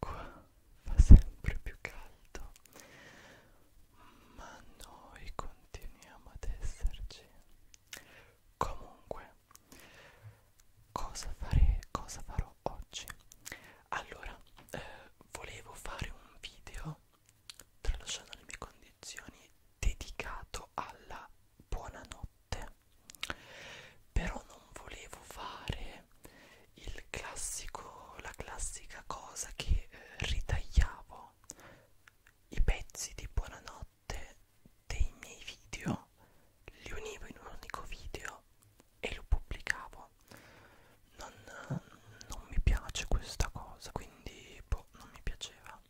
qua fa sempre più caldo ma noi continuiamo ad esserci comunque cosa fare cosa farò oggi allora eh, volevo fare un video tralasciando le mie condizioni dedicato alla buonanotte però non volevo fare il classico, la classica cosa che eh, ritagliavo i pezzi di buonanotte dei miei video, li univo in un unico video e lo pubblicavo. Non, non mi piace questa cosa, quindi boh, non mi piaceva.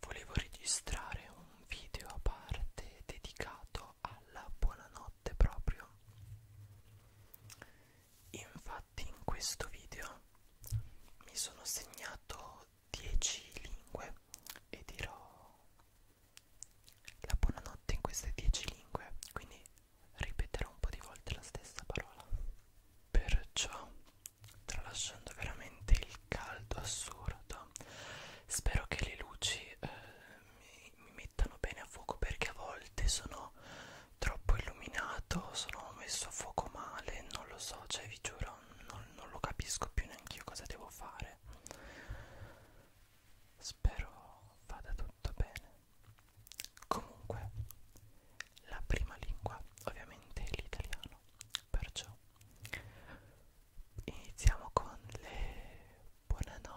Volevo registrare un video a parte dedicato alla buonanotte notte proprio infatti in questo video mi sono segnato 10 lingue e dirò la buonanotte in queste 10 lingue quindi ripeterò un po' di volte la stessa parola perciò tralasciando veramente il caldo assurdo spero che le luci eh, mi, mi mettano bene a fuoco perché a volte sono troppo illuminato, sono messo a fuoco male, non lo so, cioè vi giuro, non, non lo capisco più neanche io cosa devo fare. Spero vada tutto bene. Comunque, la prima lingua ovviamente è l'italiano, perciò iniziamo con le buonanotte.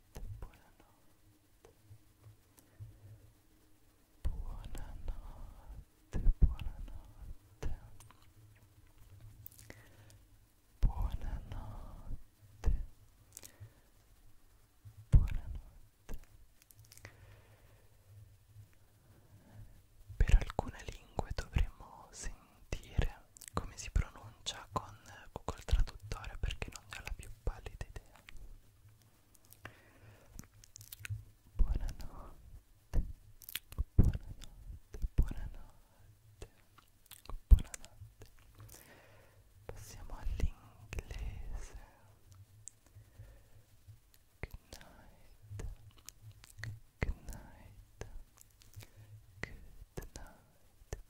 buonanotte, buonanotte, buonanotte, buonanotte. Per alcune lingue dovremmo sentire come si pronuncia con Google Traduttore perché non ne ho la più pallida idea. Buonanotte, buonanotte, buonanotte, buonanotte. Passiamo all'inglese. Good night, good night, good night,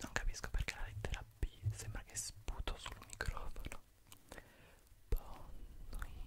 Non capisco perché la lettera B sembra che sputo sul microfono. Ponnui, ponnui,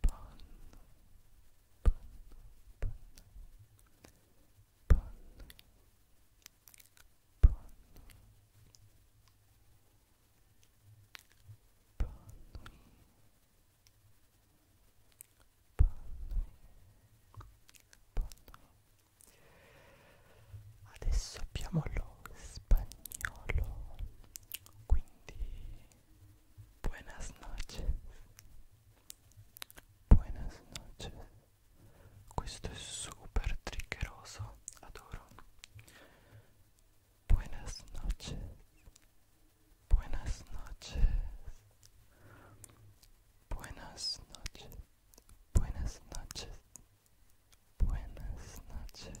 panno, panno, panno, panno, panno, panno, Adesso abbiamo lo spagnolo, quindi Buenas noches. Buenas noches. Questo è super triggeroso, adoro. Buenas noches. Buenas noches. Buenas noches. Buenas noches. Buenas noches.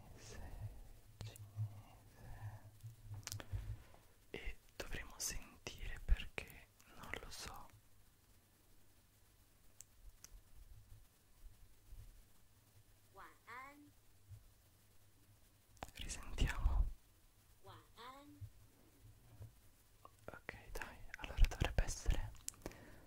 cinese e dovremo sentire perché non lo so risentiamo ok dai allora dovrebbe essere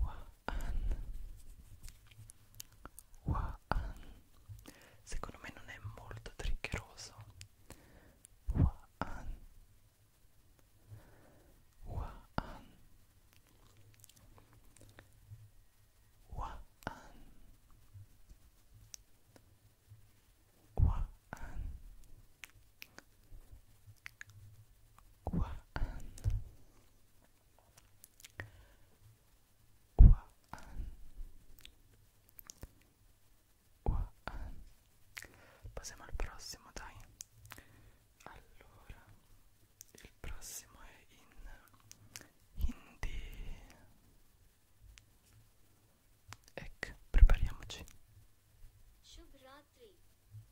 Waan Waan Secondo me non è molto triggeroso Waan Waan Waan Waan Wuhan Wuhan Wuhan Passiamo al prossimo, dai Allora Il prossimo è in Hindi Ecco, prepariamoci Shubh Ratri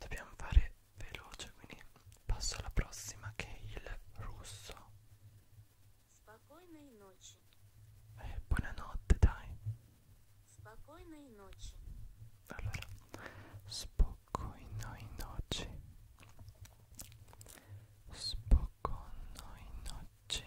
Dobbiamo fare veloce, quindi passo alla prossima che è il russo. Eh, buonanotte, dai. Allora, spokojnoj noci. Spokojnoj noci. Spokojnoj noci.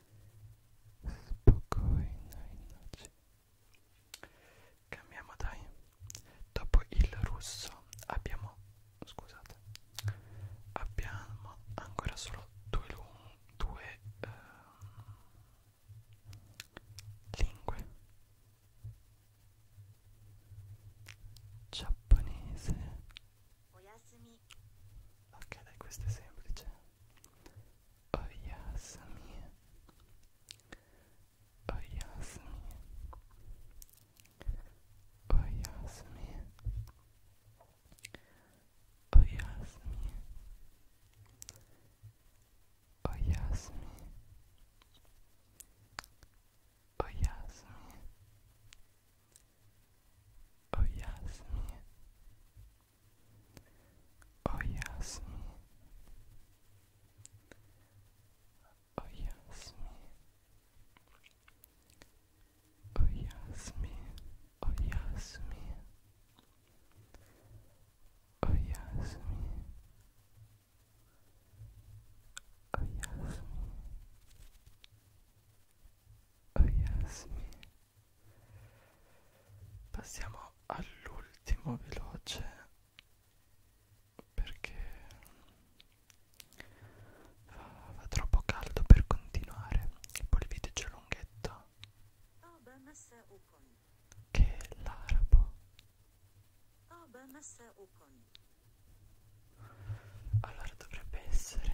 Spokojnej nocy. Cambiamo dai. Dopo il russo abbiamo, scusate, abbiamo ancora solo due, due eh, lingue. Giapponese. おやすみ Ok, dai, questo è semplice. Oh yes, mia. Oh yes, mia. Oh yes, mia. Oh yes, mia. Oh yes, mia. Oh yes, mia. Oh yes, O jasmie. O jasmie. O jasmie. O jasmie. O jasmie. O jasmie. O jasmie. O jasmie. passiamo all'ultimo veloce perché fa, fa troppo caldo per continuare e poi il video c'è lunghetta che è l'arabo allora dovrebbe essere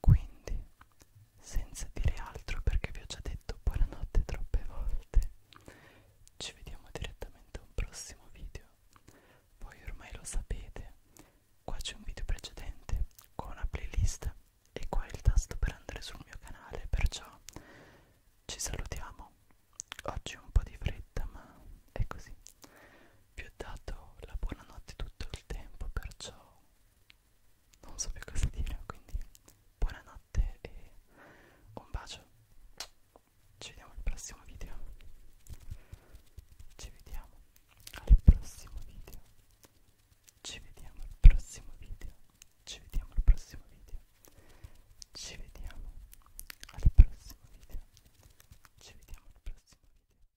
Quindi, senza dire altro perché vi ho già detto buonanotte troppe volte, ci vediamo direttamente a un prossimo video. Voi ormai lo sapete, qua c'è un video precedente con una playlist e qua è il tasto per andare sul mio canale, perciò ci salutiamo. Oggi un po' di fretta, ma è così. Vi ho dato la buonanotte tutto il tempo, perciò non so più cosa dire quindi buonanotte e un bacio ci vediamo al prossimo video ci vediamo al prossimo video ci vediamo al prossimo video ci vediamo al prossimo video ci vediamo al prossimo video ci vediamo al prossimo video